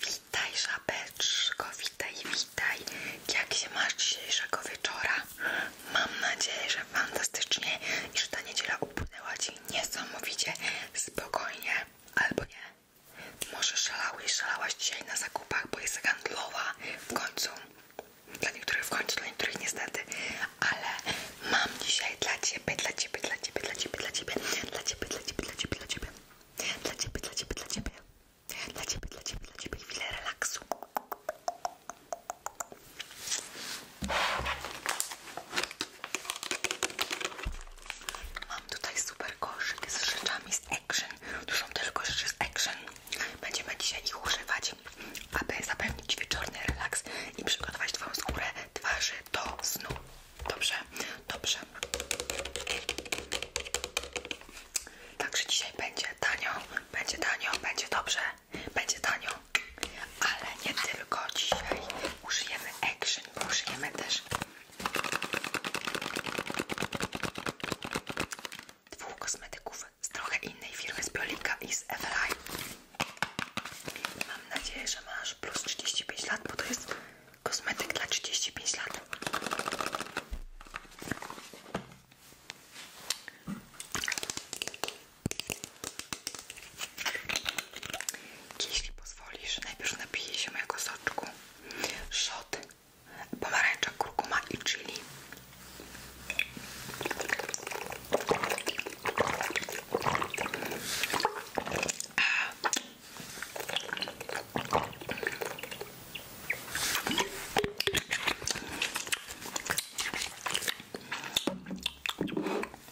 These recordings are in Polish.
Witaj żabeczko, witaj, witaj. Jak się masz dzisiejszego wieczora? Mam nadzieję, że fantastycznie i że ta niedziela upłynęła Ci niesamowicie spokojnie. Albo nie. Może szalałeś, szalałaś dzisiaj na zakupach, bo jest handlowa w końcu. Dla niektórych w końcu, dla niektórych niestety. Ale mam dzisiaj dla Ciebie, dla Ciebie, dla Ciebie, dla Ciebie, dla Ciebie, dla Ciebie, dla Ciebie, dla Ciebie, ciebie, dla ciebie. Dla ciebie, dla ciebie, dla ciebie. Dla ciebie, dla ciebie, Chwilę relaksu. Mam tutaj super koszyk z rzeczami z Action. Tu są tylko rzeczy z Action. Będziemy dzisiaj ich używać, aby zapewnić wieczorny relaks i przygotować Twoją skórę twarzy do snu. Dobrze, dobrze. Także dzisiaj będzie tanio, będzie tanio, będzie dobrze, będzie tanio. Ale nie tylko dzisiaj. Użyjemy action, bo użyjemy też dwóch kosmetyków z trochę innej firmy, z Biolika i z Eveline. Mam nadzieję, że masz plus 35 lat, bo to jest Kosmetyk dla 35 lat. Jeśli pozwolisz, najpierw napiję się mojego soczku. Szot, pomarańcza, kurkuma i chili.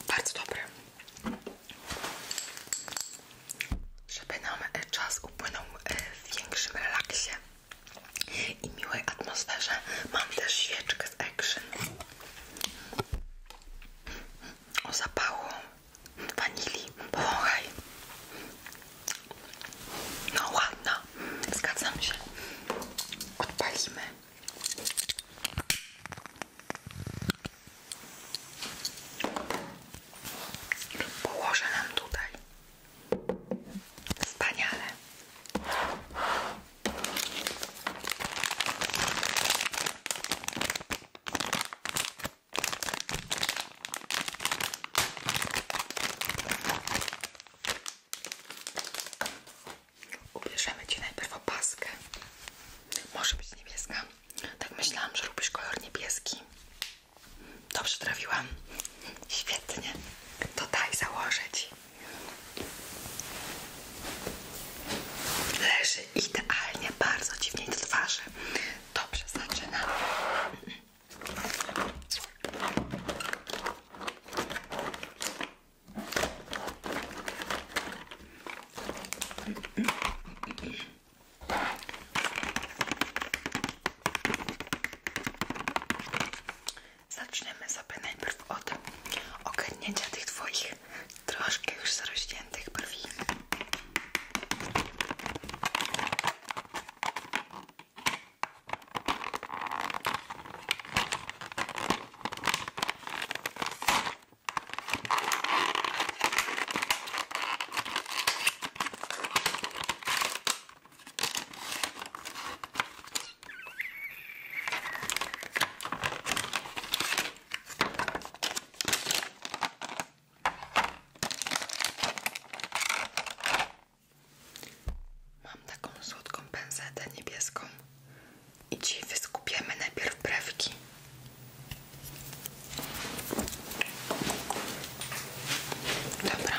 Bardzo dobry. Żeby nam e, czas upłynął e, w większym relaksie i miłej atmosferze, mam też świeczkę z Action o zapału wanilii. Powąchaj. No ładna. Zgadzam się. Położę nam tutaj. Wspaniale. Ubierzemy Ci najpierw opaskę. Może być niebieska. Tak myślałam, że lubisz kolor niebieski. Dobrze trafiłam. Świetnie. To daj założę Leży idealnie, bardzo dziwnie do twarzy. Dobrze, zaczynamy. Zaczniemy sobie najpierw od ogarnięcia tych dwóch takich troszkę już zarośniętych brwi. Mam taką słodką pędzetę niebieską i ci wyskupiemy najpierw brewki. Dobra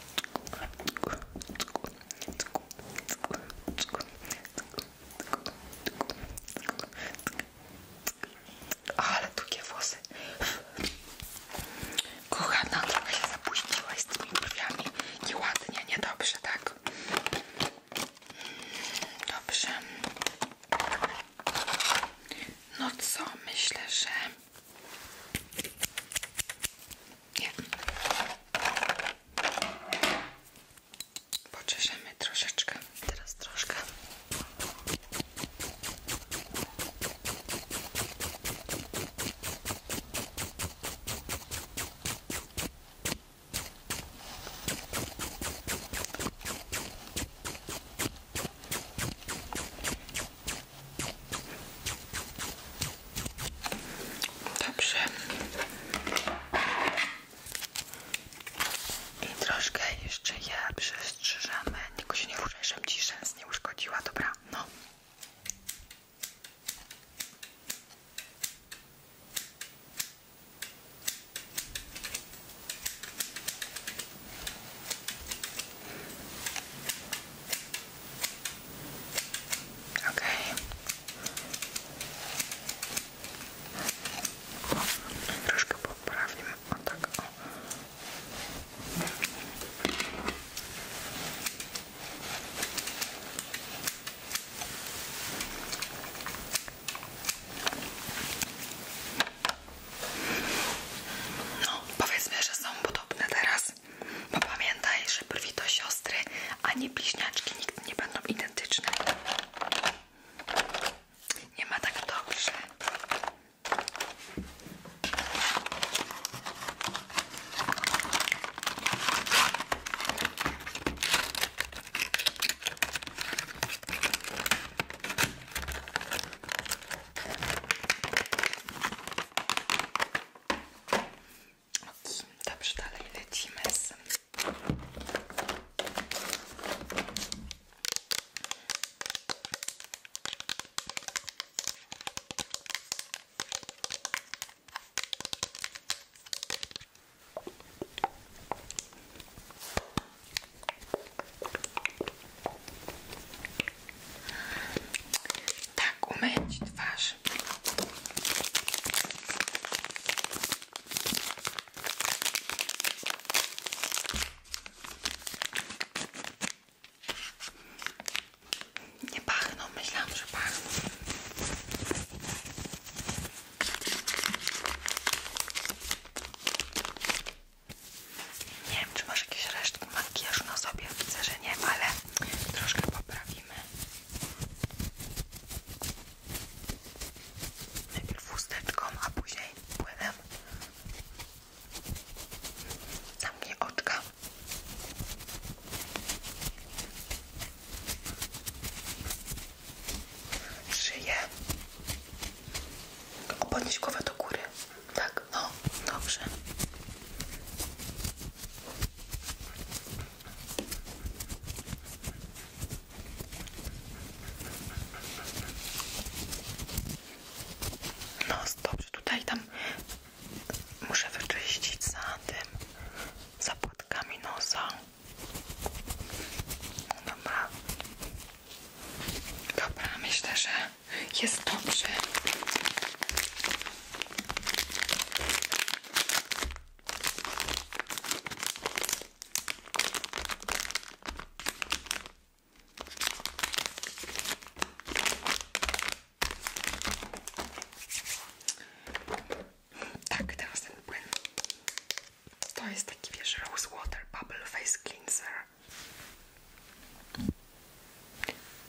Ale długie włosy. Kochana, trochę się zapuściłaś z tymi brwiami. Nieładnie, niedobrze, tak? Dobrze. No co, myślę, że nie. Poczeszemy troszeczkę. Teraz troszkę. Dobrze. I troszkę jeszcze je przestrzyżamy. Tylko się nie ruszaj, żebym ci nie uszkodziła, dobra? No. Okej. Okay. Troszkę poprawimy. O tak o. No, powiedzmy, że są podobne teraz. Bo no, pamiętaj, że brwi to siostry, a nie bliźniaczki nigdy nie będą identyczne. Nie ma tak dobrze. Okay, dobrze, dalej lecimy z... Tak, umyć twarz. Nie pachną, myślałam, że pachną. Nie wiem, czy masz jakieś resztki makijażu na sobie. Widzę, że nie, ale troszkę poprawimy. Najpierw chusteczką, a później płynem. Zamknij oczka. Szyję. Podnieś głowę do góry. Tak, no, dobrze. No, dobrze, tutaj tam muszę wyczyścić za tym, za płatkami nosa. Dobra. Dobra, myślę, że jest dobrze. Tak, teraz ten płyn. To jest taki wiesz, Rose Bubble Face Cleanser.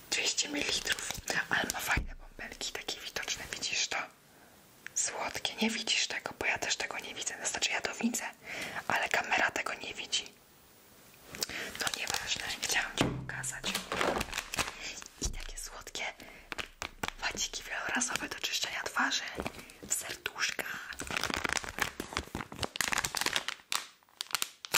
200 ml, no, ale ma fajne bąbelki, takie widoczne, widzisz to? Słodkie, nie widzisz tego, bo ja też tego nie widzę, znaczy ja to widzę, ale kamera tego nie widzi. No nieważne, chciałam Ci pokazać. I takie słodkie wadziki wielorazowe do czyszczenia twarzy w serduszka. Jedziemy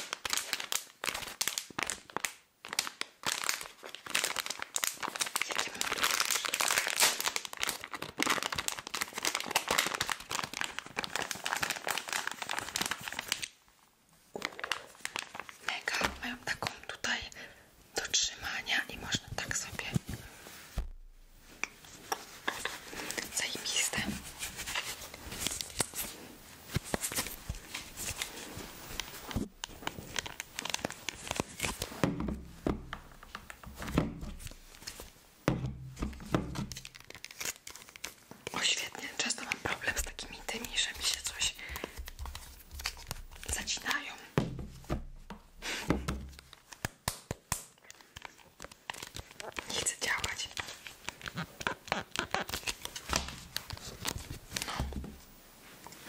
Mega, mają taką tutaj do trzymania i można tak sobie Zajebiste. O świetnie, często mam problem z takimi tymi, że mi się coś zacinają. Nie chcę działać. No.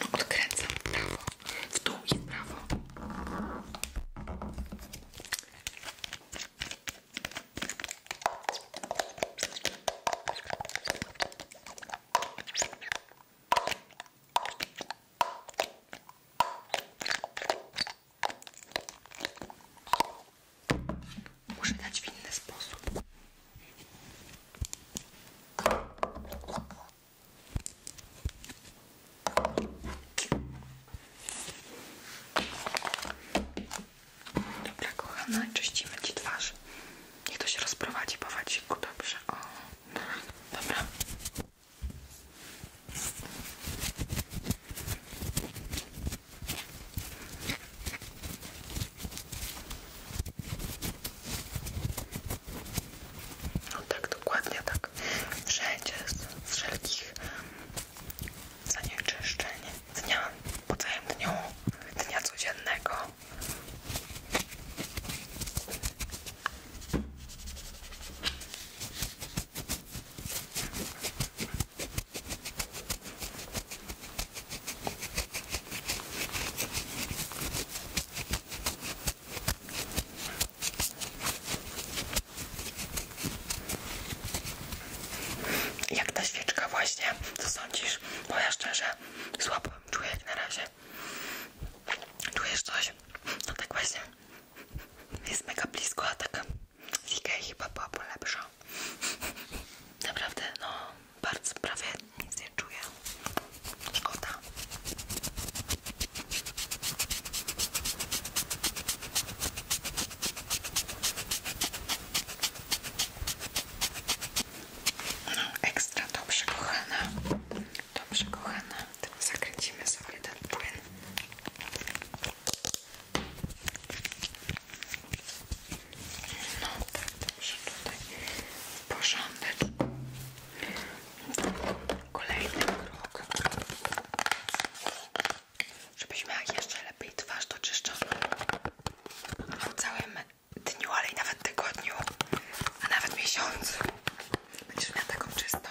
No odkręcam prawo. W dół i prawo. Muszę dać inny sposób. Dobra, kochana, czyścimy ci twarz. Niech to się rozprowadzi po waciku, dobrze. O, dobra. No tak, dokładnie tak. Wszędzie z, z wszelkich zanieczyszczeń dnia po całym dniu, dnia codziennego. Jak ta świeczka właśnie, co sądzisz? Bo ja szczerze słabo czuję jak na razie. Czujesz coś? No tak właśnie. Jest mega blisko, a tak z chyba byłaby Naprawdę, no, bardzo prawie nic nie czuję. Szkoda. No, ekstra dobrze, kochana. Dobrze, kochana. Zakręcimy sobie ten płyn. No tak, dobrze tutaj w porządeczku. Kolejny krok. Żebyś miała jeszcze lepiej twarz doczyszczoną po całym dniu, ale i nawet tygodniu, a nawet miesiącu. Będziesz miała taką czystą.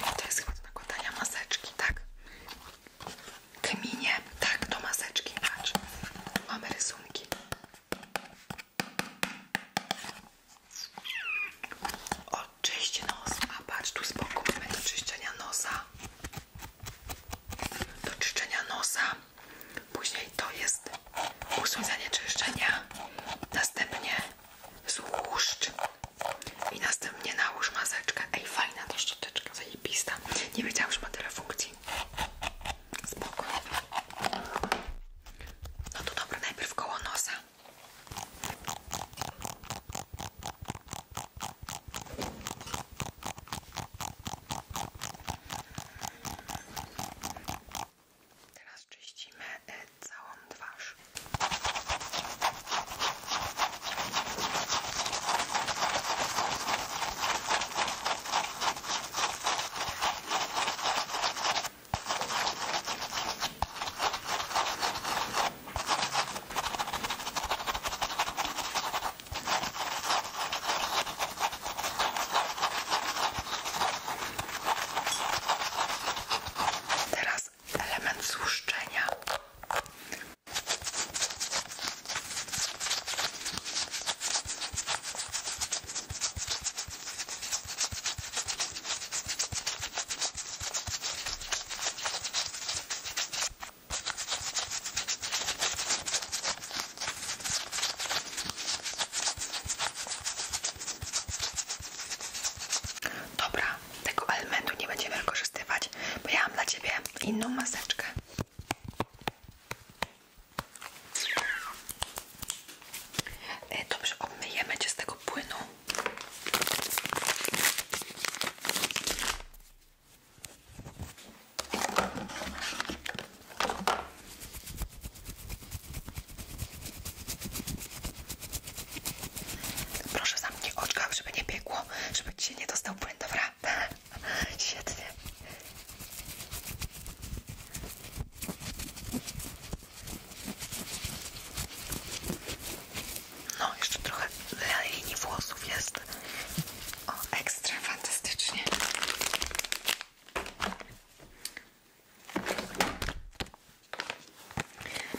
No to jest chyba do maseczki, tak? Kminie, tak, do maseczki, patrz. Mamy rysunki. Oczyść nos, a patrz tu z boku mamy do czyszczenia nosa. Do czyszczenia nosa Później to jest usunięcie zanieczyszczenia, następnie złuszcz i następnie nałóż maseczkę. Ej, fajna to, ta szczoteczka, zajebista. Nie wiedziałam, że ma tyle funkcji. Spoko. No to dobra, najpierw koło nosa. Teraz czyścimy e, całą twarz. Teraz element złuszczenia. Dobra, tego elementu nie będziemy wykorzystywać, bo ja mam dla Ciebie inną maseczkę. E, dobrze, obmyjemy Cię z tego płynu. Proszę zamknij oczka, żeby nie biegło, żeby cię nie dostał płyn, dobra? Świetnie. No, jeszcze trochę linii włosów jest. O, ekstra fantastycznie.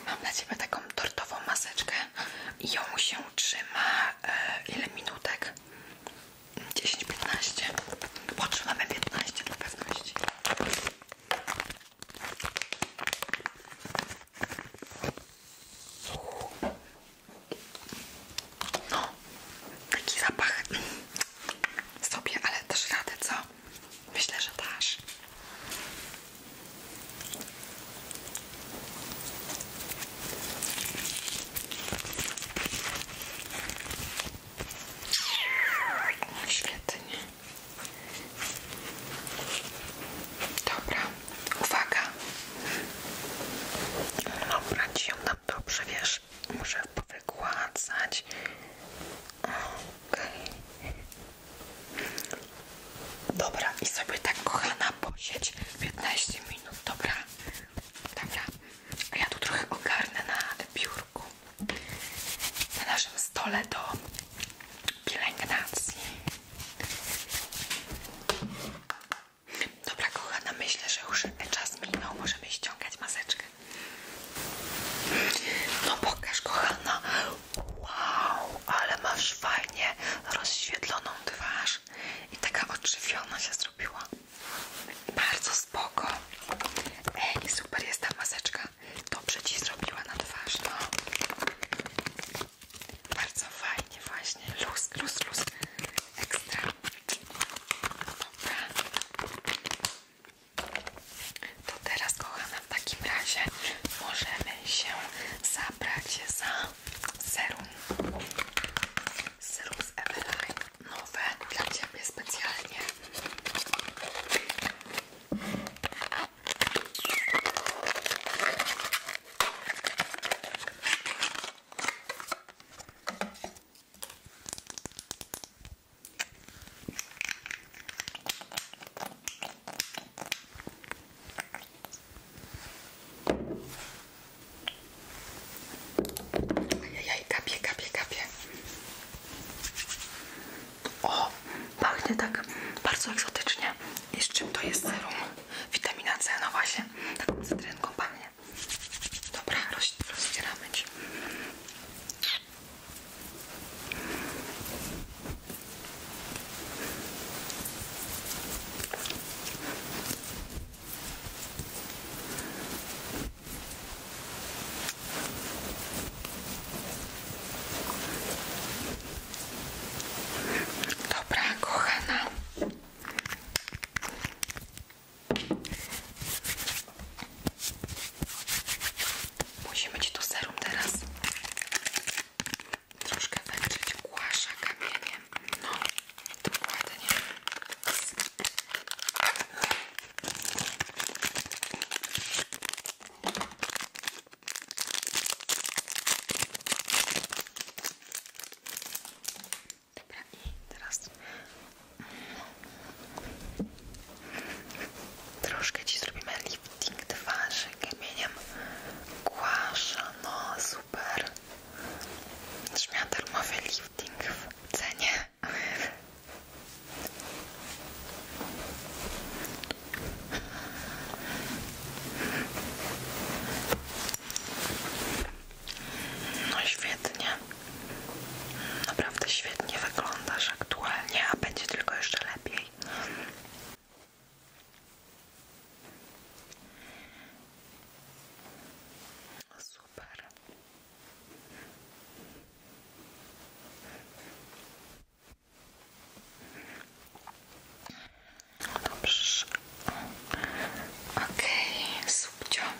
Mam na Ciebie taką tortową maseczkę i ją się trzyma e, ile minutek? 10-15. Potrzymamy 15 dla pewności. No, taki zapach sobie, ale też radę, co? Myślę, że dasz. Świetnie. Dobra, uwaga. Dobra, ci ją dobrze, wiesz, muszę powygładzać. Okej. Okay. Dobra, i sobie tak kochana posiedź 15 minut, dobra? Dobra, a ja tu trochę ogarnę na biurku. Na naszym stole do pielęgnacji. Dobra, kochana, myślę, że już czas minął. Możemy ściągać maseczkę. No pokaż kochana. Wow, ale masz fajnie rozświetloną twarz i taka odżywiona się zrobiła. Bardzo spoko. Ej, super jest ta maseczka. Dobrze ci zrobiła na twarz, no. Bardzo fajnie właśnie. Luz, luz, luz. Ekstra. To teraz kochana w takim razie możemy się zabrać za serum. Serum Eveline. Nowe dla Ciebie specjalnie. Ajajaj, kapie, kapie, kapie. O, pachnie tak bardzo egzotycznie. I z czym to jest serum? Witamina C, no właśnie, taką cytrynką pachnie. Dobra, roz, rozcieramy Ci. Dobra, kochana. Musimy Ci tu serum teraz troszkę wędrzyć głasza kamieniem. No, dokładnie. Dobra, i teraz troszkę Ci zrobimy lifting twarzy kamieniem Głasza, no super Trzymia darmowy lifting w cenie no świetnie. Naprawdę świetnie wyglądasz aktualnie, a będzie tylko jeszcze lepiej. Super. Okej, okay,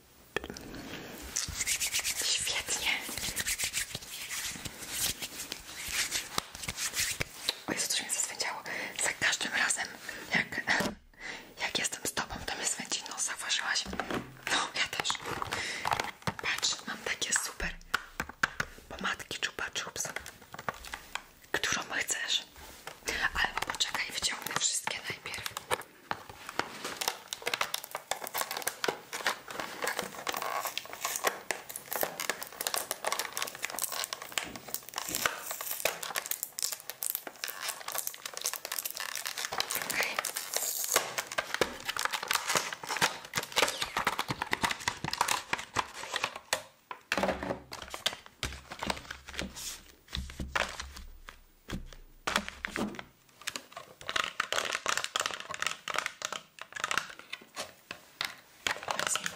Świetnie. O Jezu, coś mnie zaswędziało. Za każdym razem, jak, jak jestem z tobą, to mnie swędzi nos. Zauważyłaś? No, ja też. Patrz, mam takie super pomadki Chupa Chups. Którą chcesz? też. Albo poczekaj, wyciągnę wszystkie najpierw. Okay.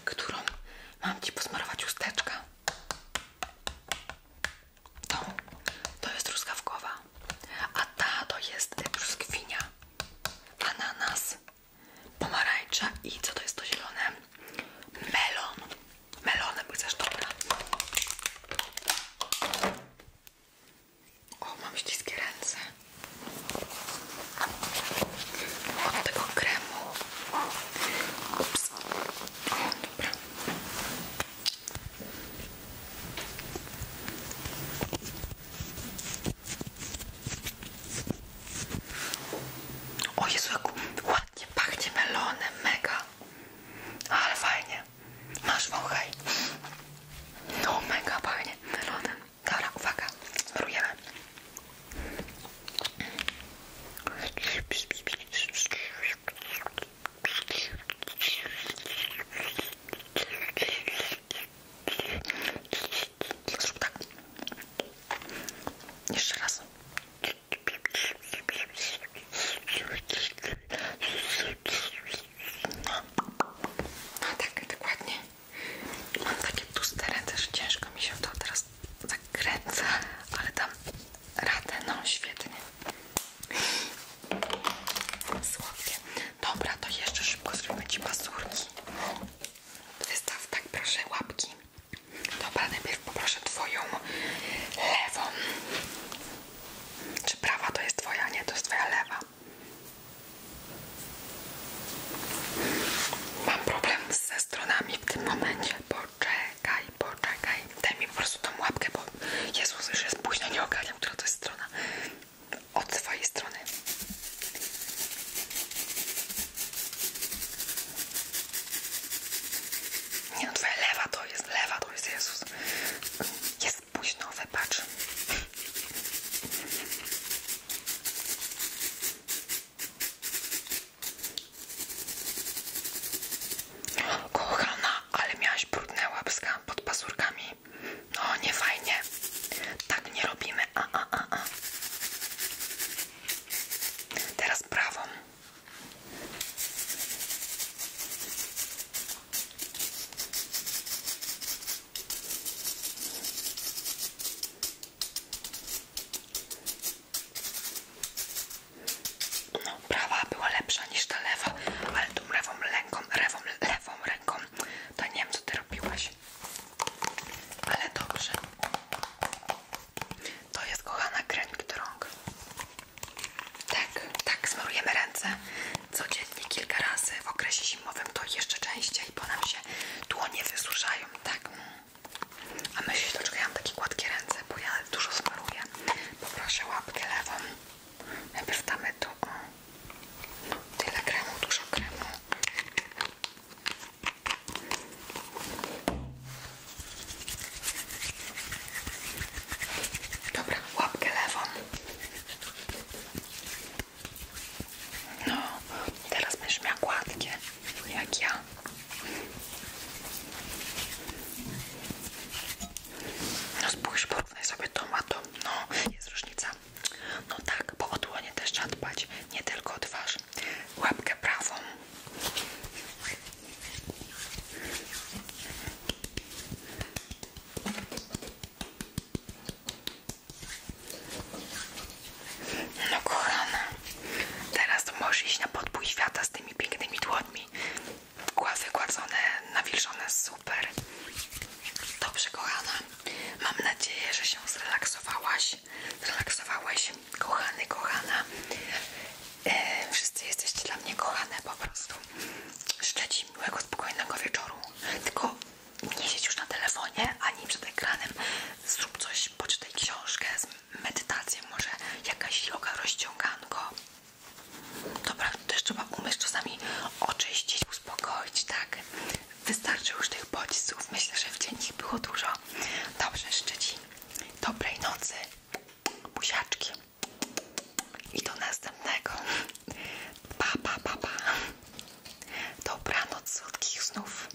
Którą mam Ci posmarować usteczka? To, to jest truskawkowa, a ta to jest brzoskwinia, ananas, pomarańcza i co to jest to zielone? Melon. Melonem chcesz, dobra. O, mam ściskie ręce. Od tego kremu. Ups. O, dobra. O Jezu, jak ładnie pachnie melonem, mega. Ale fajnie. Masz wąchaj. No mega fajnie. Melodem. Dobra, uwaga. Smarujemy. Zrób tak. Jeszcze raz. No tak, dokładnie. Mam takie tłuste ręce, że ciężko mi się to teraz zakręca, ale dam radę, no świetnie. Słodkie. Dobra, to jeszcze szybko zrobimy Ci pasurki. Wystaw tak proszę łapki. Dobra, najpierw poproszę twoją lewą. Czy prawa to jest twoja? Nie, to jest twoja lewa. Mam problem ze stronami w tym momencie. Poczekaj, poczekaj. Daj mi po prostu tą łapkę, bo Jezus już jest późno, nie ogarniam, która to jest strona. Od twojej strony. Nie no, twoja lewa to jest, lewa to jest Jezus. Jest późno, wybacz. Kochana, ale miałaś brudne łapska pod pasurkami. No, nie fajnie. Tak nie robimy. A, a, a, a. Teraz prawą. No, prawa była lepsza niż ta lewa, ale tu lewą ręką, lewą, lewą ręką, to nie wiem co ty robiłaś. Ale dobrze. To jest kochana kremik do Tak, tak, smarujemy ręce codziennie kilka razy. W okresie zimowym to jeszcze częściej, bo nam się dłonie wysuszają, tak. A myślę, że ja mam takie gładkie ręce, bo ja dużo smaruję. Poproszę łapkę lewą. Najpierw damy tu o. tyle kremu, dużo kremu. Dobra, łapkę lewą. No, teraz będziesz miała gładkie, jak ja. No spójrz, porównaj sobie to, ma to. No, jest różnica. No tak, bo o dłonie też trzeba dbać, nie tylko o twarz. Łapkę prawą no kochana, teraz możesz iść na podbój świata z tymi pięknymi dłońmi. Wygładzone, nawilżone, super. Dobrze kochana, mam nadzieję, że się zrelaksowałaś. Zrelaksowałeś, kochany, kochana. E, wszyscy jesteście dla mnie kochane po prostu. Życzę miłego, spokojnego wieczoru. Tylko nie siedź już na telefonie a ani przed ekranem. Zrób coś, poczytaj książkę, medytacją, może jakaś yoga, rozciąganko. Dobra, też trzeba umieć czasami oczyścić, uspokoić, tak? Wystarczy już tych bodźców. Myślę, że w dzień ich było dużo. Dobrze, życzę dobrej nocy Buziaczki. I do następnego. Pa, pa, Dobranoc, słodkich snów.